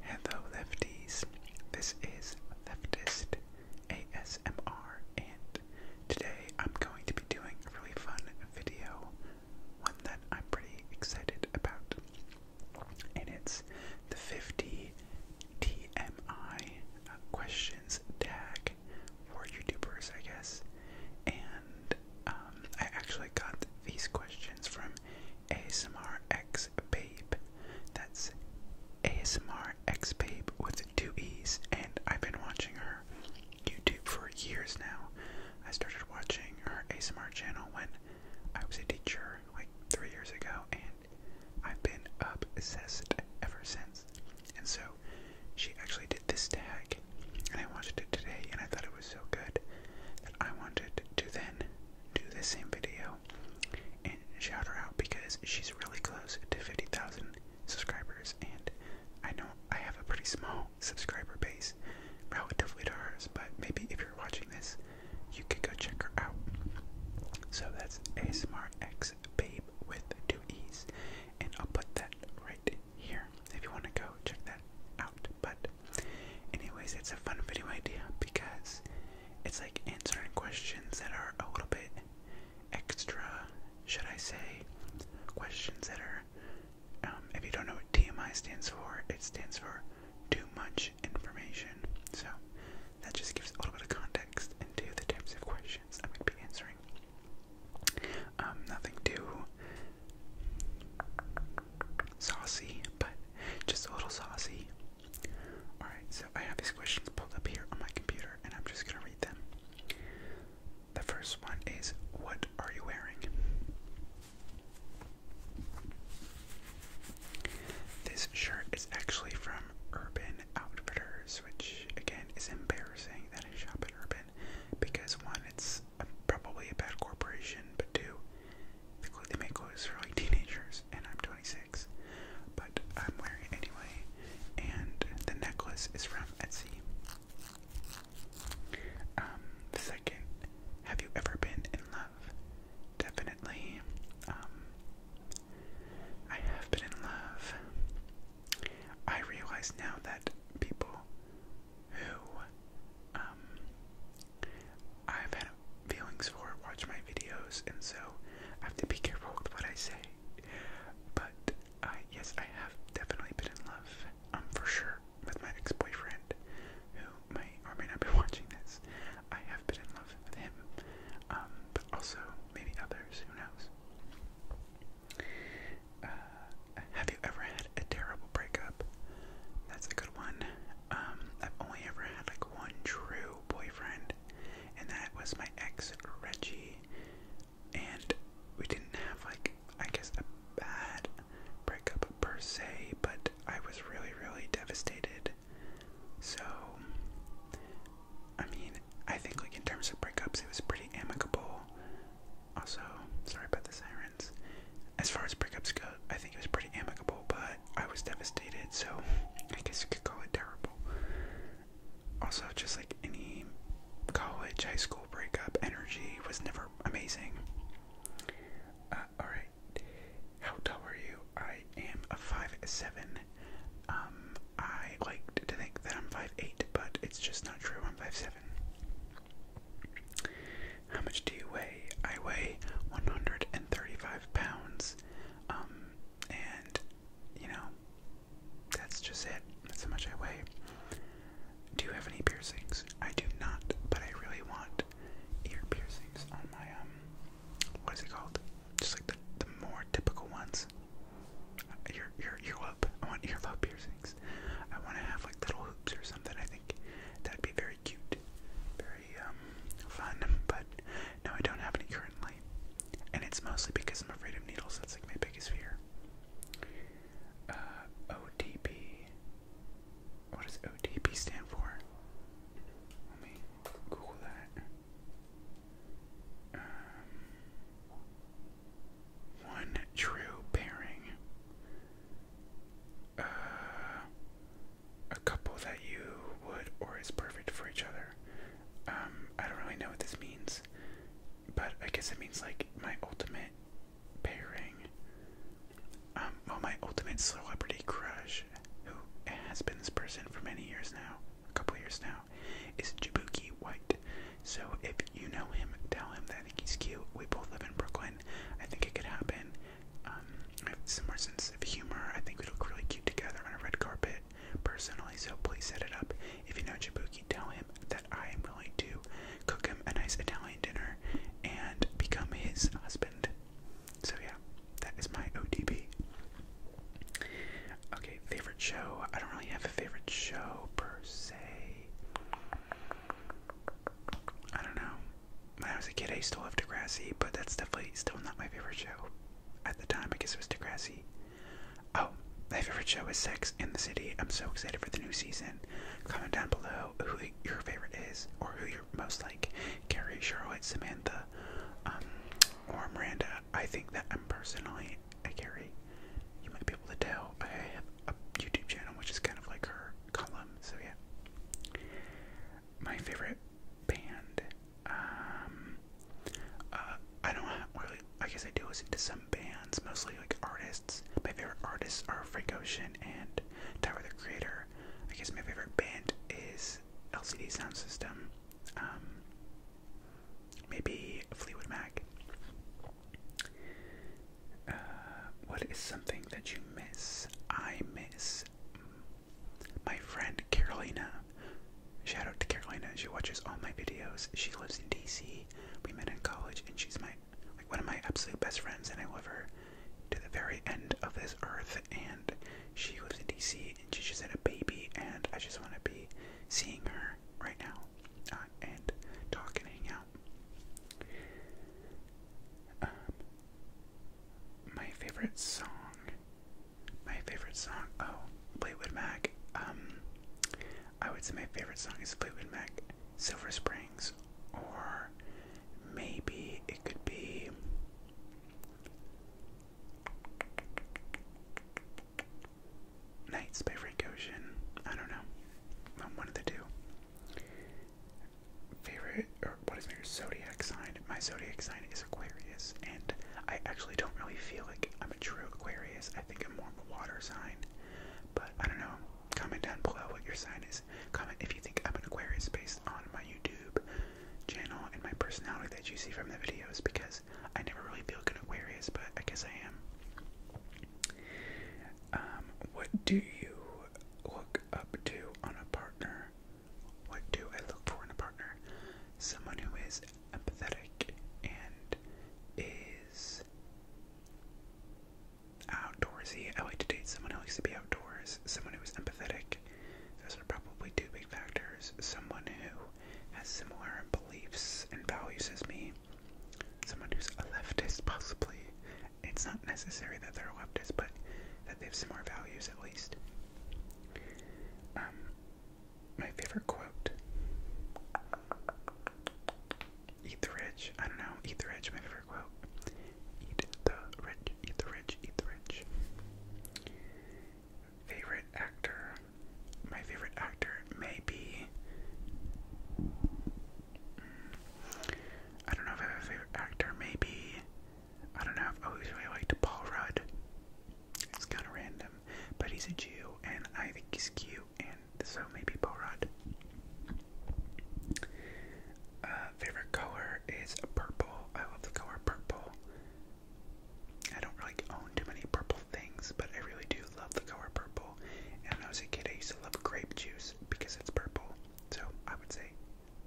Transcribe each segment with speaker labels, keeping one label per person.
Speaker 1: Hello, lefties. This is Leftist ASMR, and today I'm going to be doing a really fun video, one that I'm pretty excited about. And it's the 50 TMI questions tag for YouTubers, I guess. And um, I actually got these questions from ASMR X Babe. That's ASMR X Babe with two E's, and I've been watching her YouTube for years now. I started watching her ASMR channel when I was a teacher, like three years ago, and I've been obsessed ever since. And so she actually did this tag, and I watched it today, and I thought it was so good that I wanted to then do the same video and shout her out because she's really close to 50,000 subscribers and I know I have a pretty small subscriber base relatively to hers, but maybe if you're watching this, you could go check her out. So that's ASMR X Babe with two E's, and I'll put that right here if you want to go check that out. But Anyways, it's a fun video idea because it's like answering questions that are a little bit extra, should I say? Questions that are, um, if you don't know what TMI stands for, it stands for too much information. So that just gives a little bit of context into the types of questions I'm going to be answering. Um, nothing too Saucy, but just a little saucy. Alright, so I have these questions pulled up here on my computer, and I'm just gonna read them. The first one is What are you wearing? This shirt is actually from Urban Outfitters, which again is embarrassing that I shop at Urban because one, it's probably a bad corporation, but two, the makeovers for like teenagers, and I'm 26, but I'm wearing anyway. And the necklace is from Etsy. Um, second, have you ever been in love? Definitely. Um, I have been in love. I realize now that people who um, I've had feelings for watch my videos, and so I have to be careful with what I say. But uh, yes, I have definitely been in love, um, for sure, with my ex-boyfriend, who may or may not be watching this. I have been in love with him, um, but also maybe others. Who knows? Uh, have you ever had a terrible breakup? That's a good one. Um, I've only ever had like one true boyfriend, and that was my ex Reggie. And we didn't have like I guess a bad breakup per se, but I was really, really devastated. So I mean, I think like in terms of breakups it was pretty amicable. Also, sorry about the siren. As far as breakups go, I think it was pretty amicable, but I was devastated, so I guess you could call it terrible. Also, just like any college, high school breakup, energy was never amazing. Uh, alright, how tall are you? I am a 5'7. Um, I like to think that I'm 5'8, but it's just not true. I'm 5'7. How much do you weigh? I weigh 135 pounds. Um, and, you know, that's just it. That's how much I weigh. Do you have any piercings? I do not, but I really want ear piercings on my, um, what is it called? Just like the, the more typical ones. Your, uh, your earlobe. I want earlobe piercings. I want to have like little hoops or something. I think that'd be very cute, very um, fun, but no, I don't have any currently. And it's mostly because I'm afraid of needles, that's like my biggest fear. Uh, What does OTP stand for? Let me Google that. Um, one true pairing uh, a couple that you would or is perfect for each other. Um, I don't really know what this means, but I guess it means like my ultimate pairing. Um, well, my ultimate celebrity crush, who has been this person for many years now, a couple years now, is Jabuki White. So if you know him, tell him that I think he's cute. We both live in Brooklyn. I think it could happen. Um, I have some more sense of humor. I think we look really cute together on a red carpet, personally. So please set it up. If you know Jabuki, tell him that I am willing to cook him a nice Italian dinner and become his husband. So yeah, that is my ODB. Okay, favorite show. I don't really have a favorite show per se. I don't know. When I was a kid, I used to love but that's definitely still not my favorite show. At the time, I guess it was Degrassi. Oh, my favorite show is Sex in the City. I'm so excited for the new season. Comment down below who your favorite is, or who you're most like. Carrie, Charlotte, Samantha, um, or Miranda. I think that I'm personally a Carrie. You might be able to tell. I have a YouTube channel, which is kind of like her column. So yeah, my favorite band. Um, uh, I don't really. I guess I do listen to some bands, mostly like artists. My favorite artists are Frank Ocean and Tyler the Creator. I guess my favorite band is LCD Sound System. Um, maybe Fleetwood Mac. Uh, what is something that you miss? I miss my friend Carolina. Shout out to Carolina. She watches all my videos. She lives in DC. We met in college, and she's my like one of my absolute best friends, and I love her to the very end of this earth. And she lives in DC, and she just had a baby, and I just want to be seeing her right now. Uh, and talk and hang out. Um, my favorite song. My favorite song. Oh, Fleetwood Mac. Um, I would say my favorite song is Fleetwood Mac, Silver Springs, or maybe it could be. Nights by Frank Ocean. I don't know. I'm um, one of the two. Favorite, or what is my zodiac sign? My zodiac sign is Aquarius, and I actually don't really feel like I'm a true Aquarius. I think I'm more of a water sign. But I don't know. Comment down below what your sign is. Comment if you think I'm an Aquarius based on my YouTube channel and my personality that you see from the videos because I never really feel good Aquarius, but I guess I am. Um, what do you look up to on a partner? What do I look for in a partner? Someone who is empathetic and is outdoorsy. I like to date someone who likes to be outdoors, someone who is empathetic. Those are probably two big factors. Someone who has similar beliefs and values as me, someone who's a leftist, possibly. It's not necessary that they're a leftist, but that they have similar values at least. Um, my favorite quote. Eat the rich. I don't know. Eat the rich. My favorite quote. Eat the rich. Eat the rich. Eat the rich. Favorite actor. My favorite actor may be I don't know if I have a favorite actor. Maybe I don't know. I've oh, always really liked Paul Rudd. It's kind of random, but he's a Jew, and I think he's cute, and so maybe Paul Rudd. Uh, favorite color is purple. I love the color purple. I don't really own too many purple things, but I really do love the color purple. And I was a kid, I used to love grape juice because it's purple. So I would say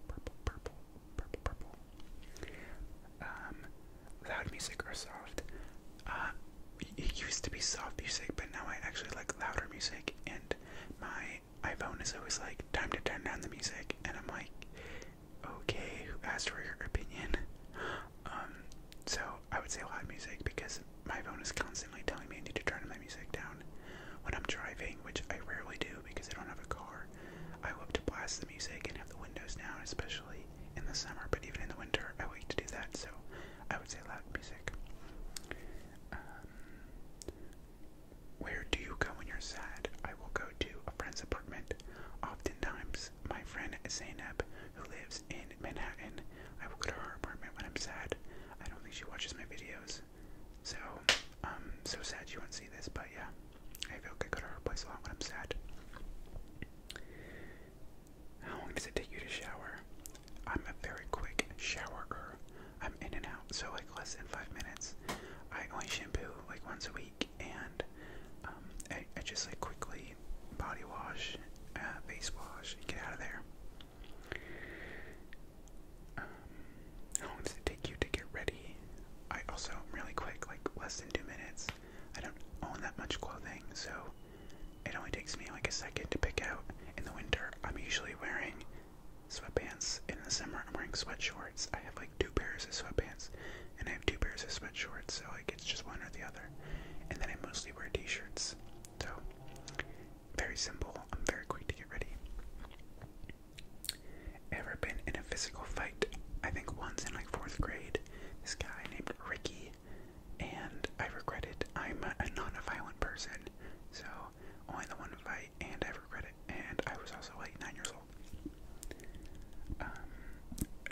Speaker 1: purple, purple, purple, purple. Um, loud music or soft? Uh, it used to be soft music, but now I actually like louder music. And my iPhone is always like, time to turn down the music. And I'm like, okay, who asked for your opinion? Um, so I would say loud music because my phone is constantly telling me I need to turn my music down when I'm driving, which I rarely do because I don't have a car. I love to blast the music and have the windows down, especially in the summer, but even in the winter, I like to do that, so I would say loud music. Um, where do you go when you're sad? I will go to a friend's apartment. Oftentimes, my friend Zainab, who lives in Manhattan. I go to her apartment when I'm sad. I don't think she watches my videos. So, um, so sad she won't see this, but yeah. I feel like I go to her place a when I'm sad. How long does it take you to shower? I'm a very quick showerer. I'm in and out, so like less than five minutes. I only shampoo like once a week, and um, I just like quickly body wash, uh, face wash, get out of there. Um, how long take you to get ready? I also really quick, like less than two minutes. I don't own that much clothing, so it only takes me like a second to pick out. In the winter, I'm usually wearing sweatpants. In the summer, I'm wearing sweat shorts. I have like two pairs of sweatpants, and I have two pairs of sweat shorts, So like it's just one or the other. And then I mostly wear t-shirts. So very simple. I'm very quick to get ready. Ever been in a physical fight? I think once in like fourth grade. This guy named Ricky, and I regret it. I'm a non-violent person, so only the one fight, and I regret it. And I was also like nine years old. Um,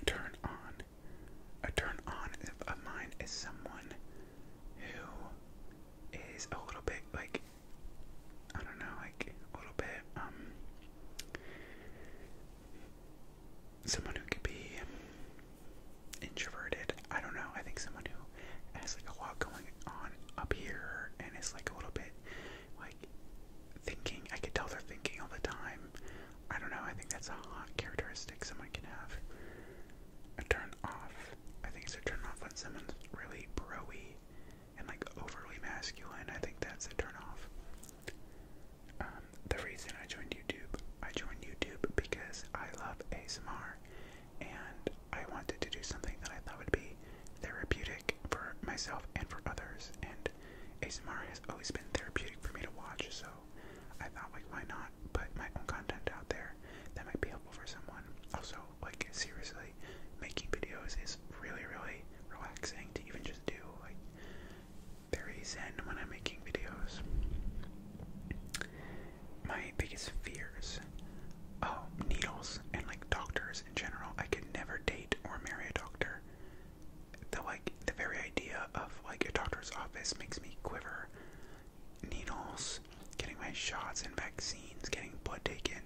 Speaker 1: turn on a turn on of mine is someone who is a little bit like I don't know, like a little bit um someone who could be introverted. I don't know. I think someone who has like a lot going on up here and is like a little bit like thinking. I could tell they're thinking all the time. I don't know, I think that's a hot characteristic someone can have. A turn off. I think it's a turn off when someone's really broy and like overly masculine. I think that's a turn off. Um, the reason I joined YouTube, I joined YouTube because I love ASMR and I wanted to do something that I thought would be therapeutic for myself and for others. And ASMR has always been therapeutic for me to watch, so I thought like why not put my own content out there that might be helpful for someone. Also, like seriously, making videos is really really relaxing to even just do like very zen when I'm making videos. My biggest fears oh, needles and like doctors in general. I could never date or marry a doctor the like the very idea of like a doctor's office makes me quiver. Needles, getting my shots and vaccines, getting blood taken.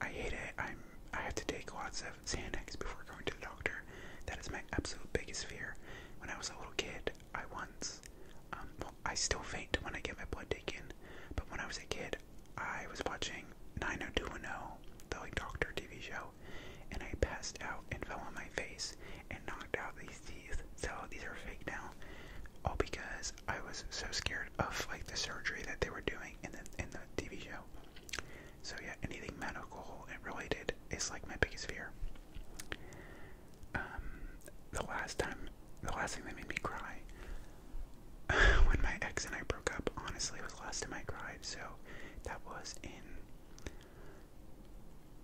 Speaker 1: I hate it. I'm I have to take lots of Xanax before going to the doctor. That is my absolute biggest fear. When I was a little kid, I once um I still faint when I get my blood taken, but when I was a kid, I was watching 90210, the like doctor TV show, and I passed out and fell on my face and knocked out these teeth. So these are fake now, all because I was so scared of like the surgery that they were doing in the in the TV show. So yeah, anything medical and related is like my biggest fear. Um, the last time, the last thing that made me cry when my ex and I broke up, honestly, was the last time I cried. So that was in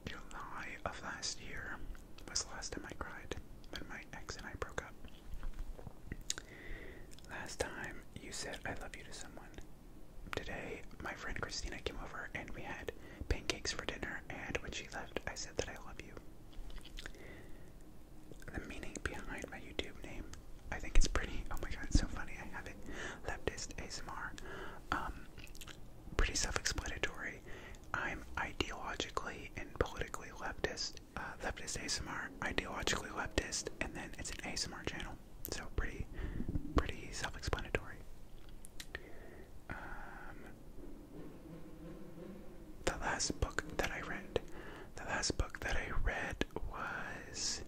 Speaker 1: July of last year was last time I cried when my ex and I broke up. Last time you said I love you to someone. Today, my friend Christina came over and we had pancakes for dinner, and when she left, I said that I love you. The meaning behind my YouTube name, I think it's pretty. Oh my god, it's so funny. I have it music, ASMR. Um, pretty self-explanatory. I'm ideologically and politically leftist. Uh, leftist ASMR, ideologically leftist, and then it's an ASMR channel. So pretty, pretty self-explanatory. Um, the last book that I read, the last book that I read was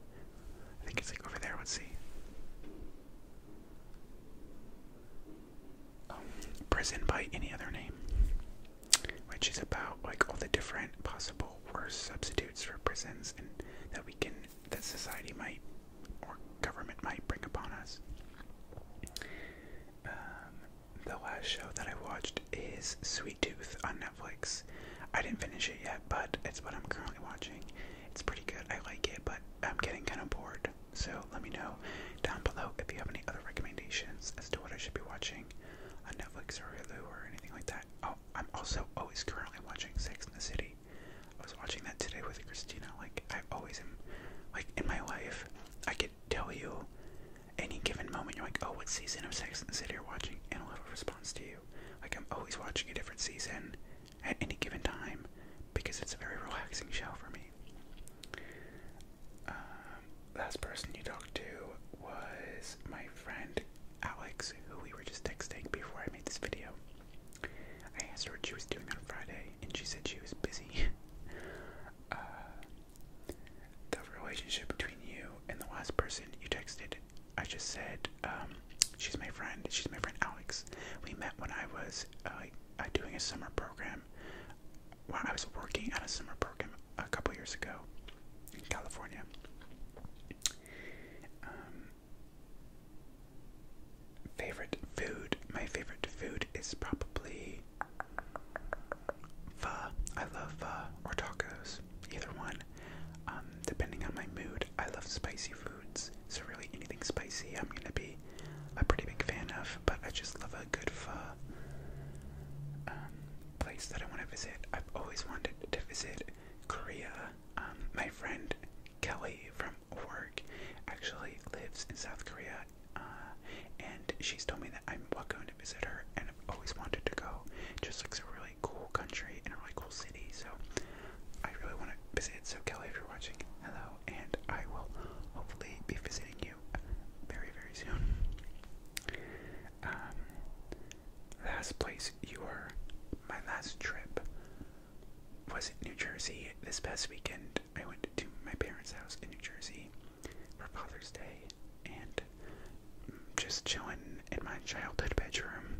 Speaker 1: I think it's like over there. Let's see. Um, prison by any other name, which is about like all the different possible worse substitutes for prisons and that we can that society might or government might bring upon us. Um, the last show that I watched is Sweet Tooth on Netflix. I didn't finish it yet, but it's what I'm currently watching. It's pretty good. I like it, but I'm getting kind of bored. So let me know down below if you have any other recommendations as to what I should be watching on Netflix or Hulu or anything like that. Oh, I'm also always currently watching Sex in the City. I was watching that today with Christina. Like I always am, like in my life, I could tell you any given moment. You're like, oh, what season of Sex in the City you're watching, and I'll have a response to you. Like I'm always watching a different season at any given time because it's a very relaxing show for me. Um, last person you talked to was my friend Alex, who we were just texting before I made this video. I asked her what she was doing on Friday, and she said she was busy. Uh, the relationship between you and the last person you texted, I just said, um, she's my friend. She's my friend Alex. We met when I was uh, uh doing a summer program. While I was working on a summer program a couple years ago in California. Um, favorite food. My favorite food is probably pho. I love pho or tacos either one. Um, depending on my mood, I love spicy foods, so really anything spicy I'm gonna be a pretty big fan of, but I just love a good um, place that I want to visit. I've always wanted to visit Korea. Um, my friend Kelly from work actually lives in South Korea, uh, and she's told me that I'm going to visit her, and I've always wanted to go. It just looks really cool country and a really cool city, so I really want to visit. So, Kelly, if you're watching, hello, and I will hopefully be visiting you very, very soon. Um, last place you were, my last trip was in New Jersey. This past weekend, I went to my parents' house in New Jersey for Father's Day and mm, just chilling in my childhood bedroom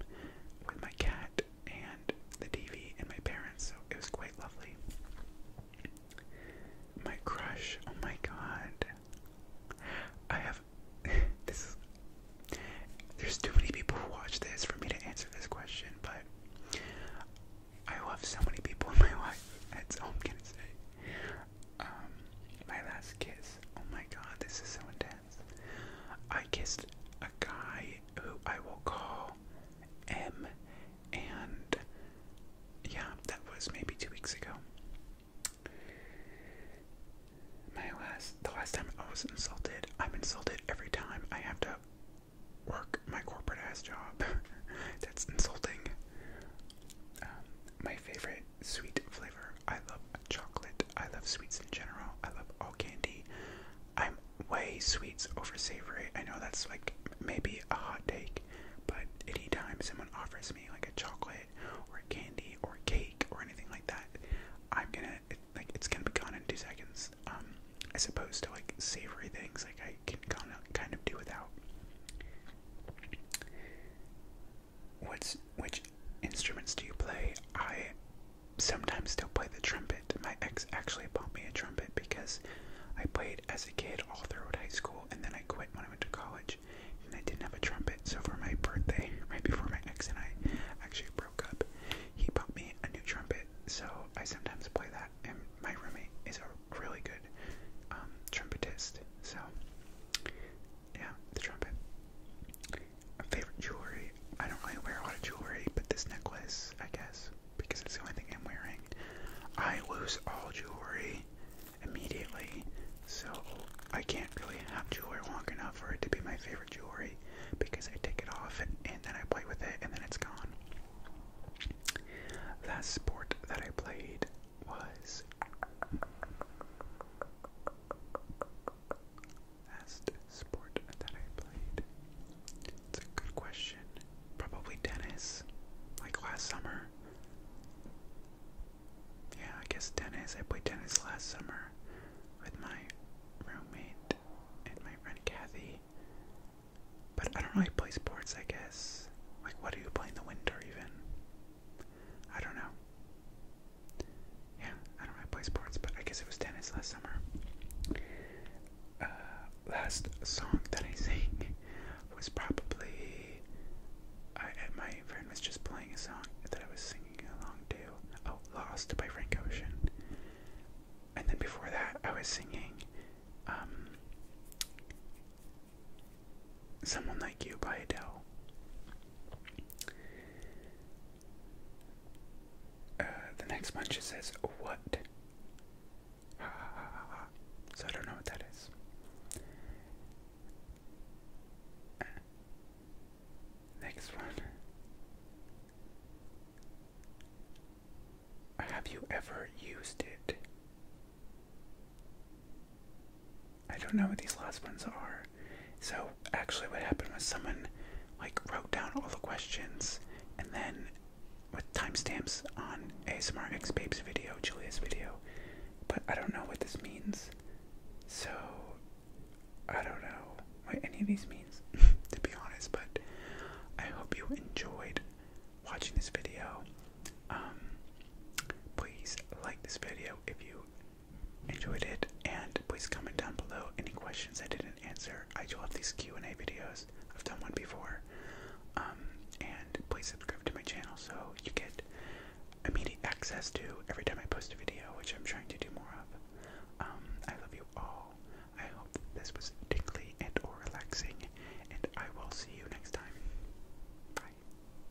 Speaker 1: with my cat and the TV and my parents, so it was quite lovely. My crush, oh my god. I have this there's too many people who watch this for me to answer this question, but I love so many people in my life. That's I'm gonna say. Um, my last kiss. Oh my god, this is so intense. I kissed a guy who I will call M, and yeah, that was maybe two weeks ago. My last, the last time I was insulted, I'm insulted every time I have to work my corporate ass job. That's insulting. Um, my favorite sweet flavor I love chocolate. I love sweets in general. I love all candy. I'm way sweets over savory. I know that's like maybe a hot take, but anytime someone offers me like a chocolate or a candy or a cake or anything like that, I'm gonna like it's gonna be gone in two seconds. Um, as opposed to like savory things, like I can kind of kind of do without. What's which instruments do you play? I sometimes still play the trumpet. My ex actually bought me a trumpet because I played as a kid all throughout high school, and then I quit when I went to college, and I didn't have a trumpet. So for my birthday, right before my ex and I actually broke up, he bought me a new trumpet. So I sometimes play that, and my roommate is a really good um, trumpetist. So yeah, the trumpet. favorite jewelry. I don't really wear a lot of jewelry, but this necklace, I guess, because it's the only thing I'm wearing. I lose all jewelry immediately, so I can't really have jewelry long enough for it to be my favorite jewelry because I take it off and, and then I play with it and then it's gone. Last sport that I played was Last sport that I played. It's a good question. Probably tennis, like last summer. Yeah, I guess tennis. I played tennis last summer with my roommate and my friend Kathy. But I don't really play sports, I guess. Like, what do you play in the winter, even? I don't know. Yeah, I don't play sports, but I guess it was tennis last summer. Uh, last song that I sang was probably. I, my friend was just playing a song that I was singing along to. Oh, Lost by Frank Ocean. And then before that, I was singing. Um, Someone Like You by Adele. Uh, the next one she says, What? So I don't know what that is. Uh, next one. Have you ever used it? I don't know what these last ones are. So actually what happened was someone like wrote down all the questions and then with timestamps on a Smart X Babe's video, Julia's video. But I don't know what this means. So I don't know what any of these means, to be honest, but I hope you enjoyed watching this video. Um, please like this video if you enjoyed it, and please comment down below any questions I didn't answer. I do love these Q&A videos. I've done one before. Um, and please subscribe to my channel so you get immediate access to every time I post a video, which I'm trying to do more of. Um, I love you all. I hope this was tickly and or relaxing, and I will see you next time. Bye.